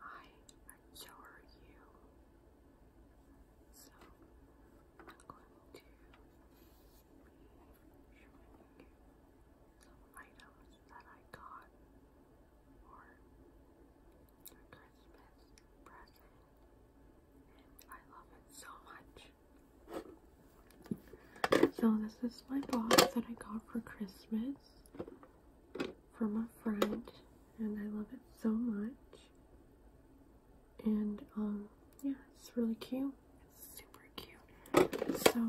I adore you. So I'm going to be showing you some items that I got for a Christmas present. And I love it so much. So this is my box that I got for Christmas from a friend, and I love it so much. And um, yeah, it's really cute. It's super cute. So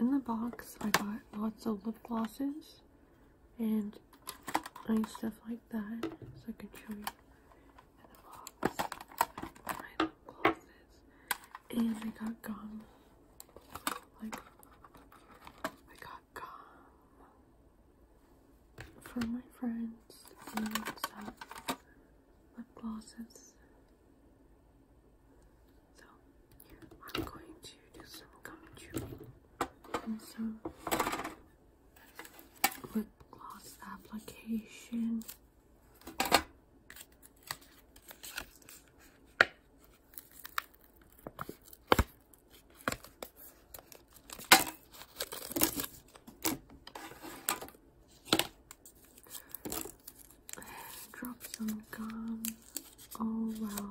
in the box, I got lots of lip glosses and nice stuff like that, so I can show you in the box my lip glosses. And I got gum, like I got for my friends lip glosses. So I'm going to do some gum and some lip gloss application. Drop some gum. Oh wow.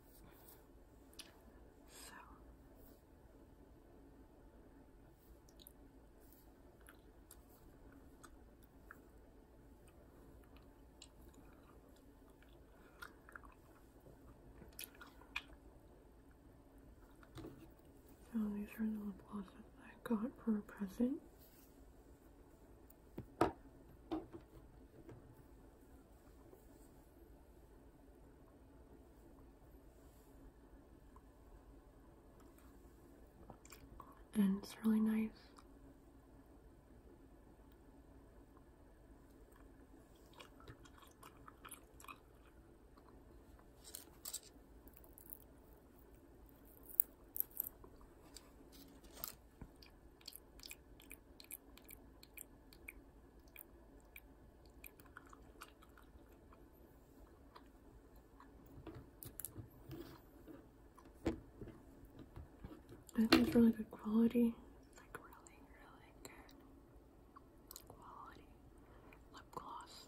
So so oh, these are the lip glosses I got for a present and it's really nice. I think it's really good quality. Like really, really good quality lip gloss.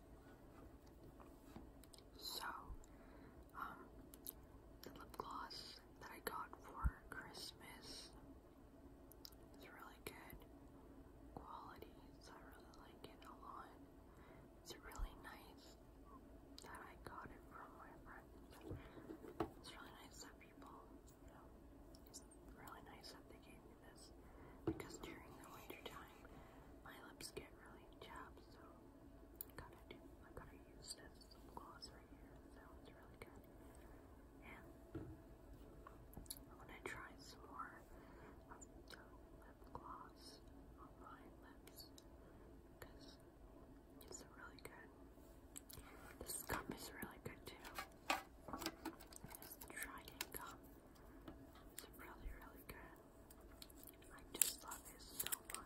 So, um, the lip gloss that I got for Christmas is really good quality, so I really like it a lot. It's really nice that I got it from my friends. It's really nice that people, you know, it's really nice that they gave me this because during the winter my lips get really chapped, so kind of do, I kind of use this gloss right here. It sounds really good. And I'm gonna try some more of the lip gloss on my lips because it's really good. This gum is really good too. This Trident gum. It's really, really good. I just love it so much.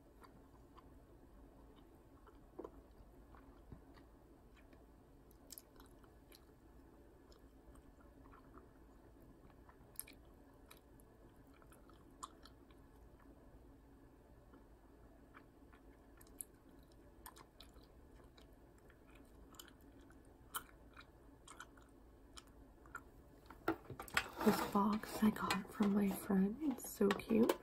This box I got from my friend. It's so cute.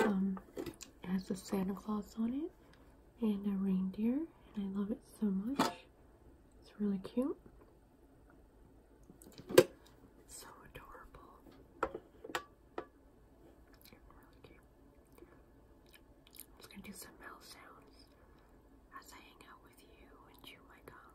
Um, it has a Santa Claus on it and a reindeer, and I love it so much. It's really cute. so adorable. I'm just gonna do some mouth sounds as I hang out with you and chew my gum.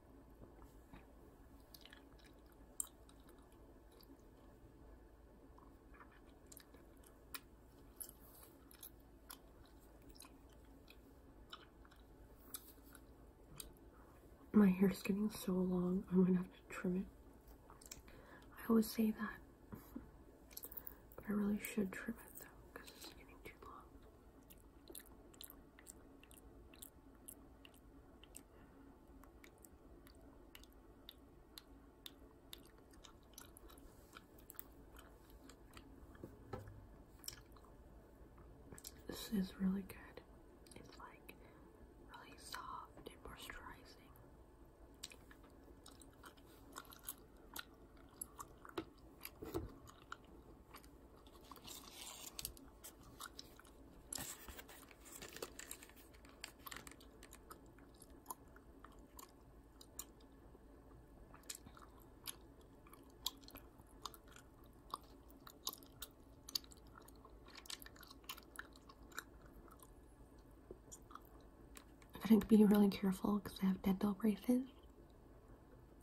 My hair is getting so long, I'm gonna have to trim it. I always say that, but I really should trim it though because it's getting too long. This is really good. It's like really soft and moisturizing. I gotta be really careful because I have dental braces.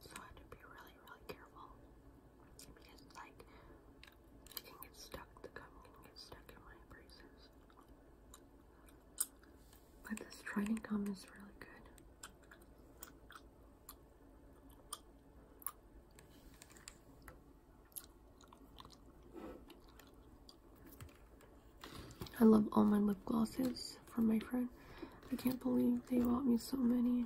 So I have to be really, really careful because, like, it can get stuck. The gum can get stuck in my braces. But this Trident gum is really good. I love all my lip glosses from my friend. I can't believe they bought me so many.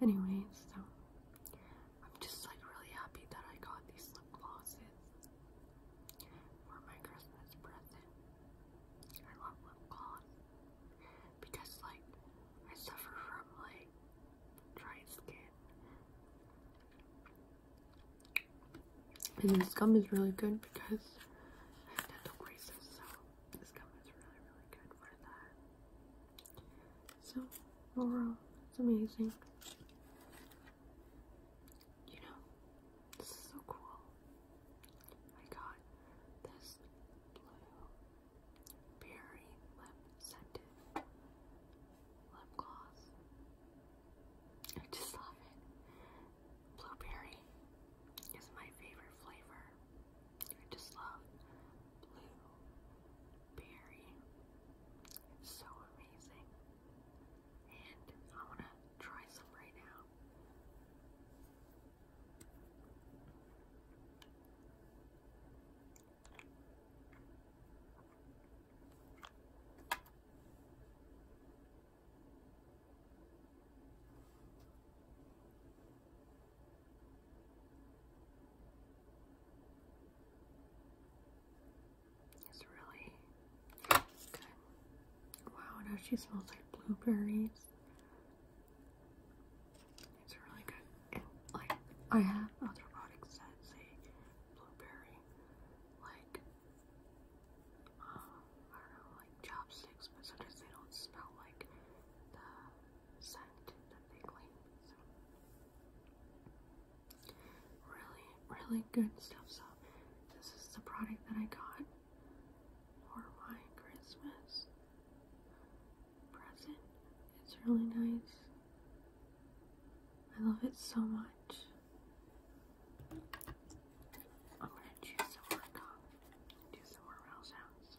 Anyways, so I'm just like really happy that I got these lip glosses for my Christmas present. I love lip gloss because like I suffer from like dry skin. And this gum is really good because I have dental braces, so this gum is really, really good for that. So overall, it's amazing. You know, this so cool. I got this blue berry lip scented lip gloss. I just love it. Blueberry is my favorite flavor. I just love blue berry. It's so amazing. And I want to try some right now. It's really good. Wow, now she smells like blueberries. It's really good. like I have other products that say blueberry, like uh, I don't know, like chopsticks, but sometimes they don't smell like the scent that they claim Really, really good stuff. So, this is the product that I got for my Christmas present. It's really nice. I love it so much. I'm gonna choose some more gum do some more round sounds.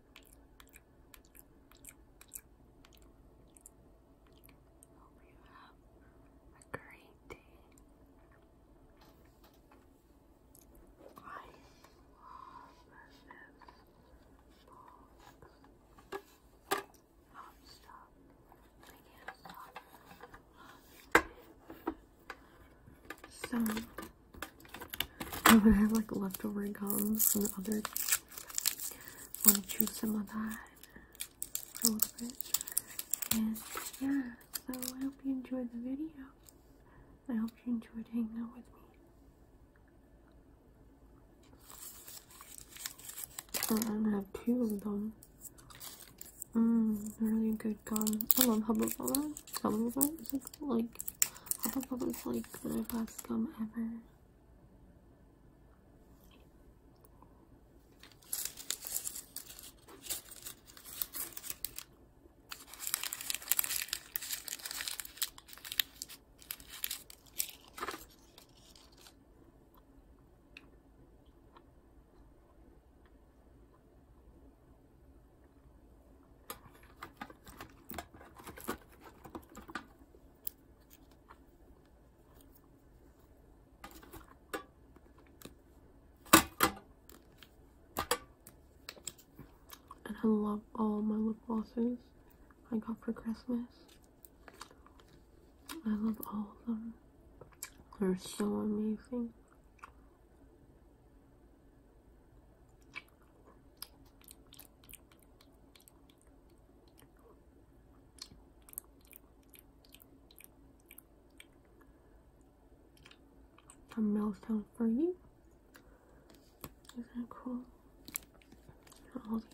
Hope you have a great day. I love this box. Stop, stop. I can't stop. So I'm gonna have like leftover gums and other. I to chew some of that a little bit. And yeah, so I hope you enjoyed the video. I hope you enjoyed hanging out with me. Oh, I'm gonna have two of them. Mmm, really good gum. I love Hubba Bubba them. Some of them like like Hufflepuff is like the best gum ever. And I love all my lip glosses I got for Christmas. I love all of them. They're so amazing. A milestone for you. Isn't that cool? all these.